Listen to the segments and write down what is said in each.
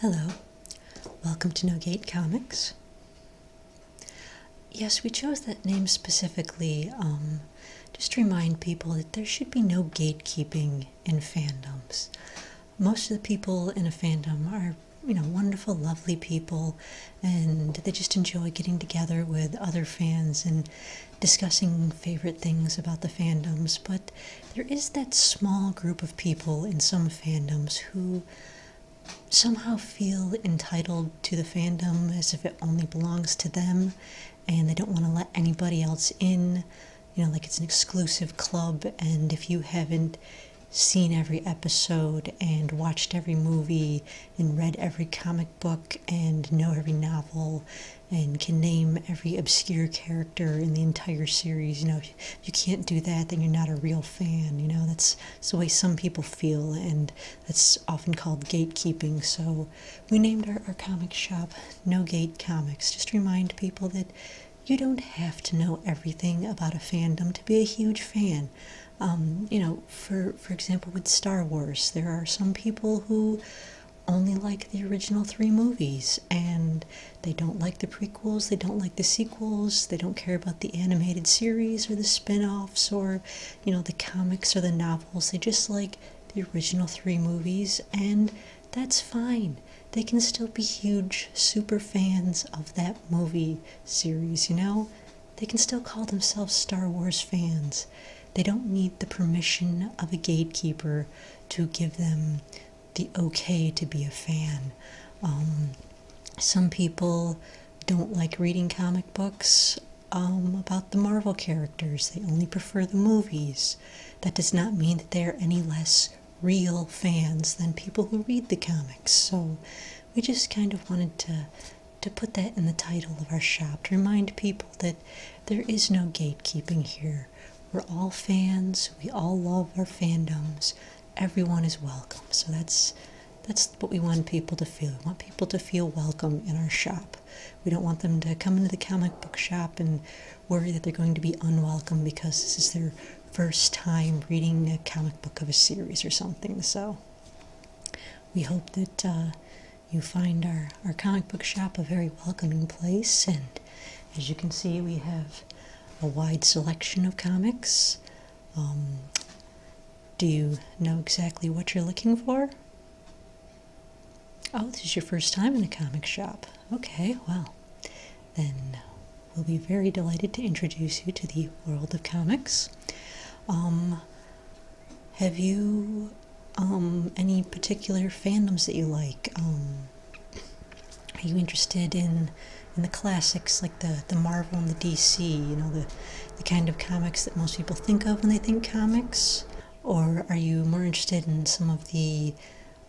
Hello, welcome to No Gate Comics. Yes, we chose that name specifically um, just to remind people that there should be no gatekeeping in fandoms. Most of the people in a fandom are, you know, wonderful, lovely people, and they just enjoy getting together with other fans and discussing favorite things about the fandoms, but there is that small group of people in some fandoms who somehow feel entitled to the fandom as if it only belongs to them and they don't want to let anybody else in. You know, like it's an exclusive club, and if you haven't seen every episode and watched every movie and read every comic book and know every novel, and can name every obscure character in the entire series. You know, you can't do that, then you're not a real fan. You know, that's, the way some people feel, and that's often called gatekeeping. So we named our, our comic shop No Gate Comics, just remind people that you don't have to know everything about a fandom to be a huge fan. Um, you know, for for example, with Star Wars, there are some people who only like the original three movies and they don't like the prequels, they don't like the sequels, they don't care about the animated series or the spin offs or, you know, the comics or the novels. They just like the original three movies and that's fine. They can still be huge super fans of that movie series, you know? They can still call themselves Star Wars fans. They don't need the permission of a gatekeeper to give them the okay to be a fan. Um, some people don't like reading comic books um, about the Marvel characters, they only prefer the movies. That does not mean that they are any less real fans than people who read the comics. So we just kind of wanted to to put that in the title of our shop to remind people that there is no gatekeeping here. We're all fans. We all love our fandoms. Everyone is welcome. So that's that's what we want people to feel. We want people to feel welcome in our shop. We don't want them to come into the comic book shop and worry that they're going to be unwelcome because this is their first time reading a comic book of a series or something. So we hope that uh, you find our, our comic book shop a very welcoming place. And as you can see, we have a wide selection of comics. Um, do you know exactly what you're looking for? Oh, this is your first time in a comic shop. Okay, well, then we'll be very delighted to introduce you to the world of comics. Um, have you um, any particular fandoms that you like? Um, are you interested in in the classics like the the Marvel and the DC? You know the the kind of comics that most people think of when they think comics, or are you more interested in some of the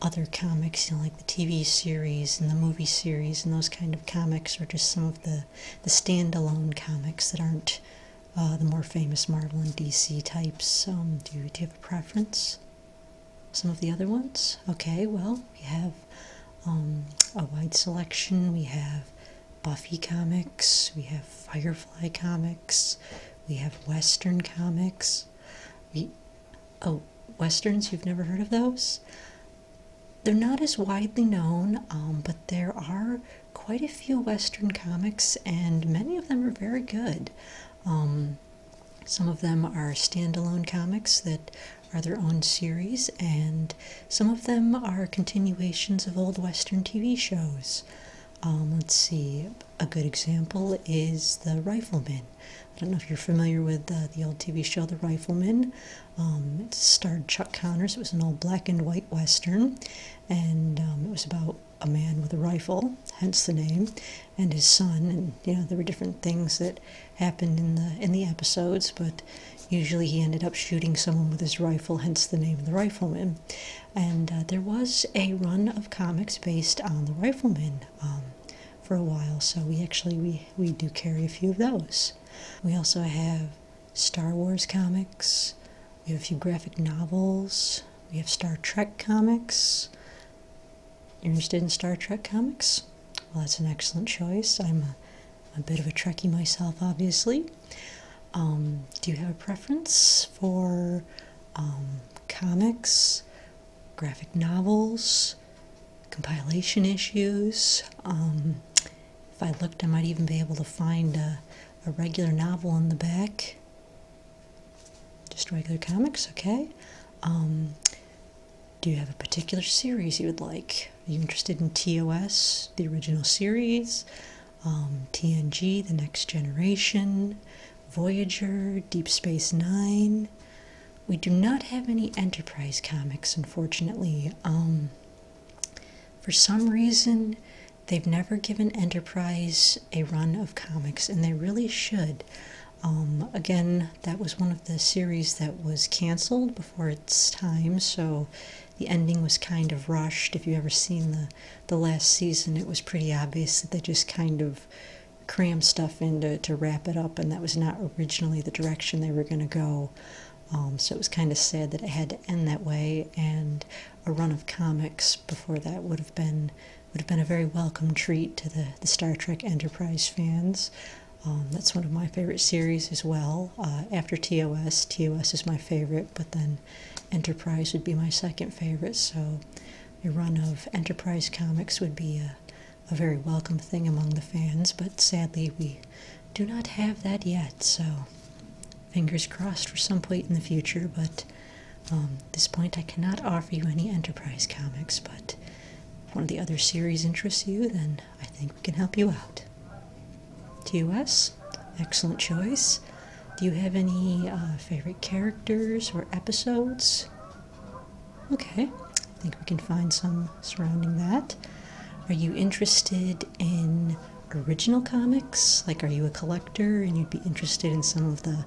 other comics, you know, like the TV series and the movie series and those kind of comics, or just some of the the standalone comics that aren't uh, the more famous Marvel and DC types. Um, do, you, do you have a preference? Some of the other ones? Okay, well, we have um, a wide selection. We have Buffy comics, we have Firefly comics, we have Western comics. oh, Westerns, you've never heard of those? They're not as widely known, um, but there are quite a few Western comics, and many of them are very good. Um, some of them are standalone comics that are their own series, and some of them are continuations of old Western TV shows. Um, let's see, a good example is The Rifleman. I don't know if you're familiar with uh, the old TV show The Rifleman. Um, it starred Chuck Connors. It was an old black and white Western and um, it was about a man with a rifle, hence the name, and his son, and you know there were different things that happened in the in the episodes, but usually he ended up shooting someone with his rifle, hence the name of the Rifleman. And uh, there was a run of comics based on the Rifleman um, for a while, so we actually we we do carry a few of those. We also have Star Wars comics. We have a few graphic novels. We have Star Trek comics. You're interested in Star Trek comics? Well, that's an excellent choice. I'm a, bit of a Trekkie myself, obviously. Um, do you have a preference for um, comics, graphic novels, compilation issues? Um, if I looked, I might even be able to find a, regular novel in the back. Just regular comics, okay. Um, do you have a particular series you would like? Are you interested in TOS, the original series, um, TNG, the next generation, Voyager, Deep Space Nine? We do not have any Enterprise comics, unfortunately. Um, for some reason, they've never given Enterprise a run of comics, and they really should. Um, again, that was one of the series that was canceled before its time, so the ending was kind of rushed. If you ever seen the the last season, it was pretty obvious that they just kind of crammed stuff into to wrap it up, and that was not originally the direction they were going to go. Um, so it was kind of sad that it had to end that way, and a run of comics before that would have been would have been a very welcome treat to the, the Star Trek Enterprise fans. Um, that's one of my favorite series as well. Uh, after TOS, TOS is my favorite, but then Enterprise would be my second favorite. So a run of Enterprise comics would be a, a very welcome thing among the fans. But sadly, we do not have that yet, so fingers crossed for some point in the future. But um, this point, I cannot offer you any Enterprise comics. But if one of the other series interests you, then I think we can help you out. TUS, excellent choice. Do you have any uh, favorite characters or episodes? Okay, I think we can find some surrounding that. Are you interested in original comics? Like, are you a collector and you'd be interested in some of the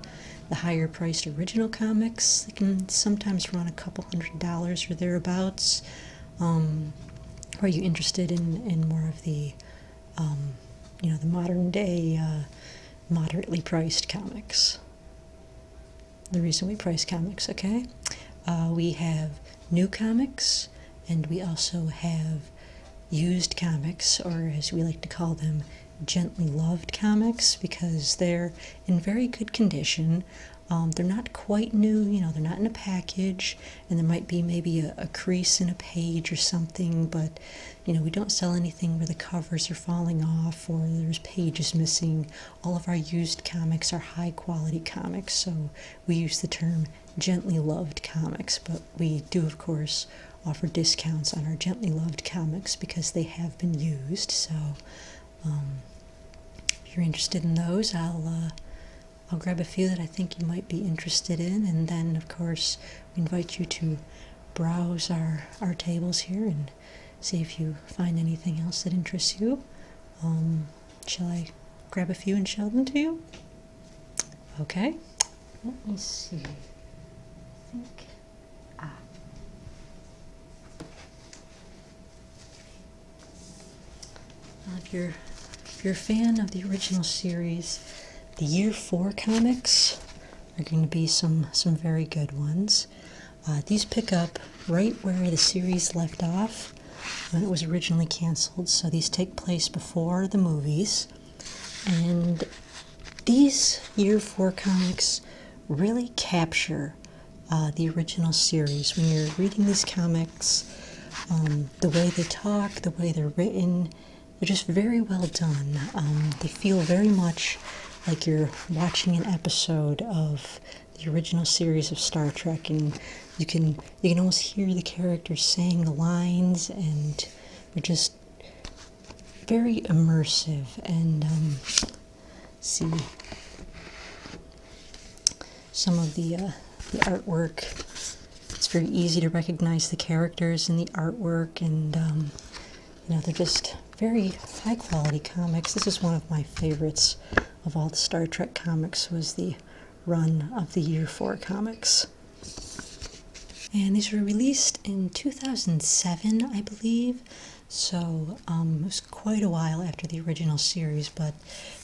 the higher priced original comics? They can sometimes run a couple hundred dollars or thereabouts. Um, are you interested in in more of the um, you know the modern day uh, moderately priced comics? The reason we price comics, okay? Uh, we have new comics, and we also have used comics, or as we like to call them, gently loved comics, because they're in very good condition. Um, they're not quite new, you know, they're not in a package, and there might be maybe a crease in a page or something, but you know, we don't sell anything where the covers are falling off or there's pages missing all of our used comics are high quality comics, so we use the term gently loved comics, but we do, of course, offer discounts on our gently loved comics because they have been used. So, um, if you're interested in those, I'll uh, I'll grab a few that I think you might be interested in, and then of course we invite you to browse our our tables here and see if you find anything else that interests you. Um, shall I grab a few and show them to you? Okay. Let me see. think. Ah. Uh, if you're if you're a fan of the original series, the Year Four comics are going to be some some very good ones. Uh, these pick up right where the series left off when it was originally canceled, so these take place before the movies. And these year four comics really capture uh, the original series. When you're reading these comics, um, the way they talk, the way they're written, they're just very well done. Um, they feel very much like you're watching an episode of the original series of Star Trek, and you can you can almost hear the characters saying the lines, and they're just very immersive. And um, see some of the uh, the artwork. It's very easy to recognize the characters and the artwork, and um, you know they're just very high quality comics. This is one of my favorites of all the Star Trek comics was the run of the year 4 comics. And these were released in 2007, I believe. So um, it was quite a while after the original series, but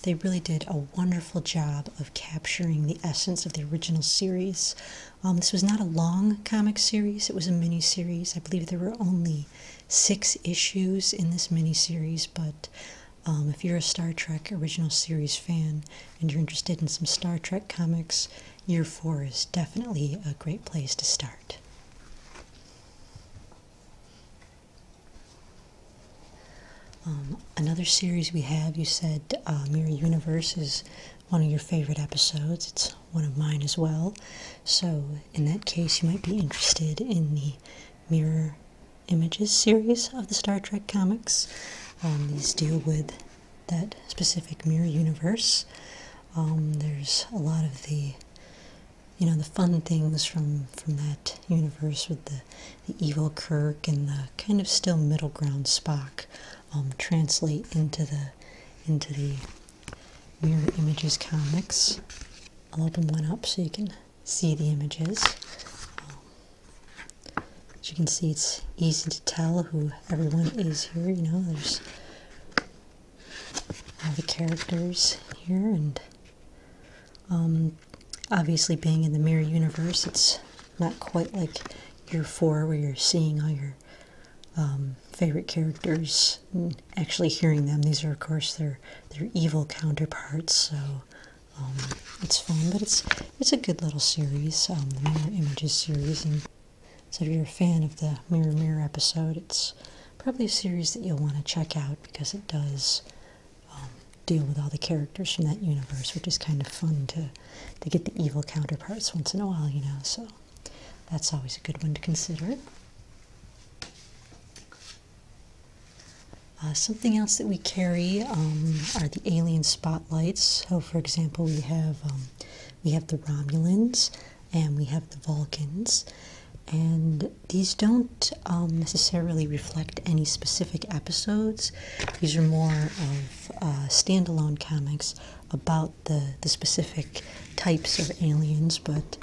they really did a wonderful job of capturing the essence of the original series. Um, this was not a long comic series, it was a mini series. I believe there were only six issues in this mini series, but um, if you're a Star Trek original series fan and you're interested in some Star Trek comics, year four is definitely a great place to start. Um, another series we have, you said uh, Mirror Universe is one of your favorite episodes. It's one of mine as well. So, in that case, you might be interested in the Mirror Images series of the Star Trek comics. Um, these deal with that specific mirror universe. Um, there's a lot of the you know the fun things from from that universe with the, the evil Kirk and the kind of still middle ground Spock um, translate into the into the Mirror Images Comics. I'll open one up so you can see the images. as you can see, it's easy to tell who everyone is here. You know, there's all the characters here, and um, obviously, being in the Mirror universe, it's not quite like year four where you're seeing all your um, favorite characters and actually hearing them. These are, of course, their their evil counterparts. So um, it's fun, but it's it's a good little series, um, the Mirror Images series. And so if you're a fan of the Mirror Mirror episode, it's probably a series that you'll want to check out because it does deal with all the characters from that universe, which is kind of fun to to get the evil counterparts once in a while, you know. So that's always a good one to consider. Uh, something else that we carry um, are the alien spotlights. So, for example, we have um, we have the Romulans and we have the Vulcans, and these don't um, necessarily reflect any specific episodes. These are more of uh, standalone comics about the, the specific types of aliens, but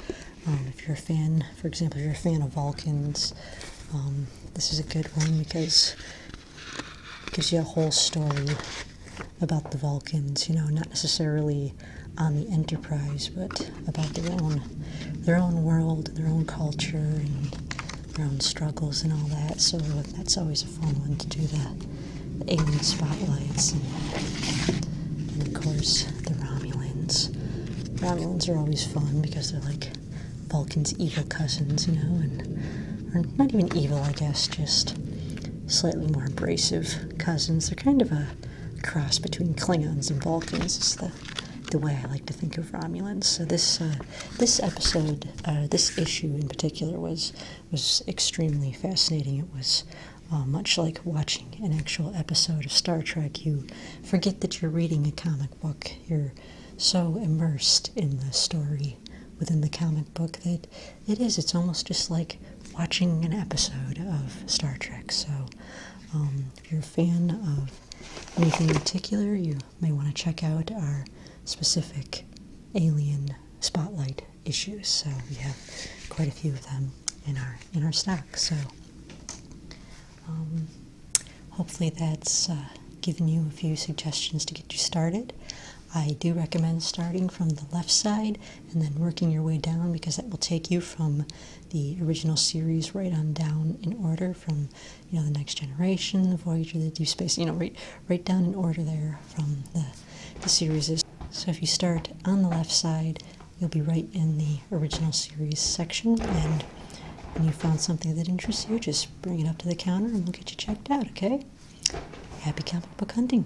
um, if you're a fan, for example, if you're a fan of Vulcans, um, this is a good one because it gives you a whole story about the Vulcans, you know, not necessarily on the Enterprise, but about their own, their own world, their own culture, and their own struggles and all that. So that's always a fun one to do that the alien spotlights, and, of course the Romulans. Romulans are always fun because they're like Vulcan's evil cousins, you know, and or not even evil, I guess, just slightly more abrasive cousins. They're kind of a cross between Klingons and Vulcans. Is the the way I like to think of Romulans. So this uh, this episode, uh, this issue in particular, was was extremely fascinating. It was uh, much like watching an actual episode of Star Trek. You forget that you're reading a comic book. You're so immersed in the story within the comic book that it is. It's almost just like watching an episode of Star Trek. So, um, if you're a fan of anything in particular, you may want to check out our specific alien spotlight issues. So we have quite a few of them in our in our stack. So um, hopefully that's uh, given you a few suggestions to get you started. I do recommend starting from the left side and then working your way down because that will take you from the original series right on down in order from you know the next generation, the Voyager, the Deep Space, you know right right down in order there from the the series so if you start on the left side, you'll be right in the original series section. And when you found something that interests you, just bring it up to the counter and we'll get you checked out, okay? Happy comic book hunting!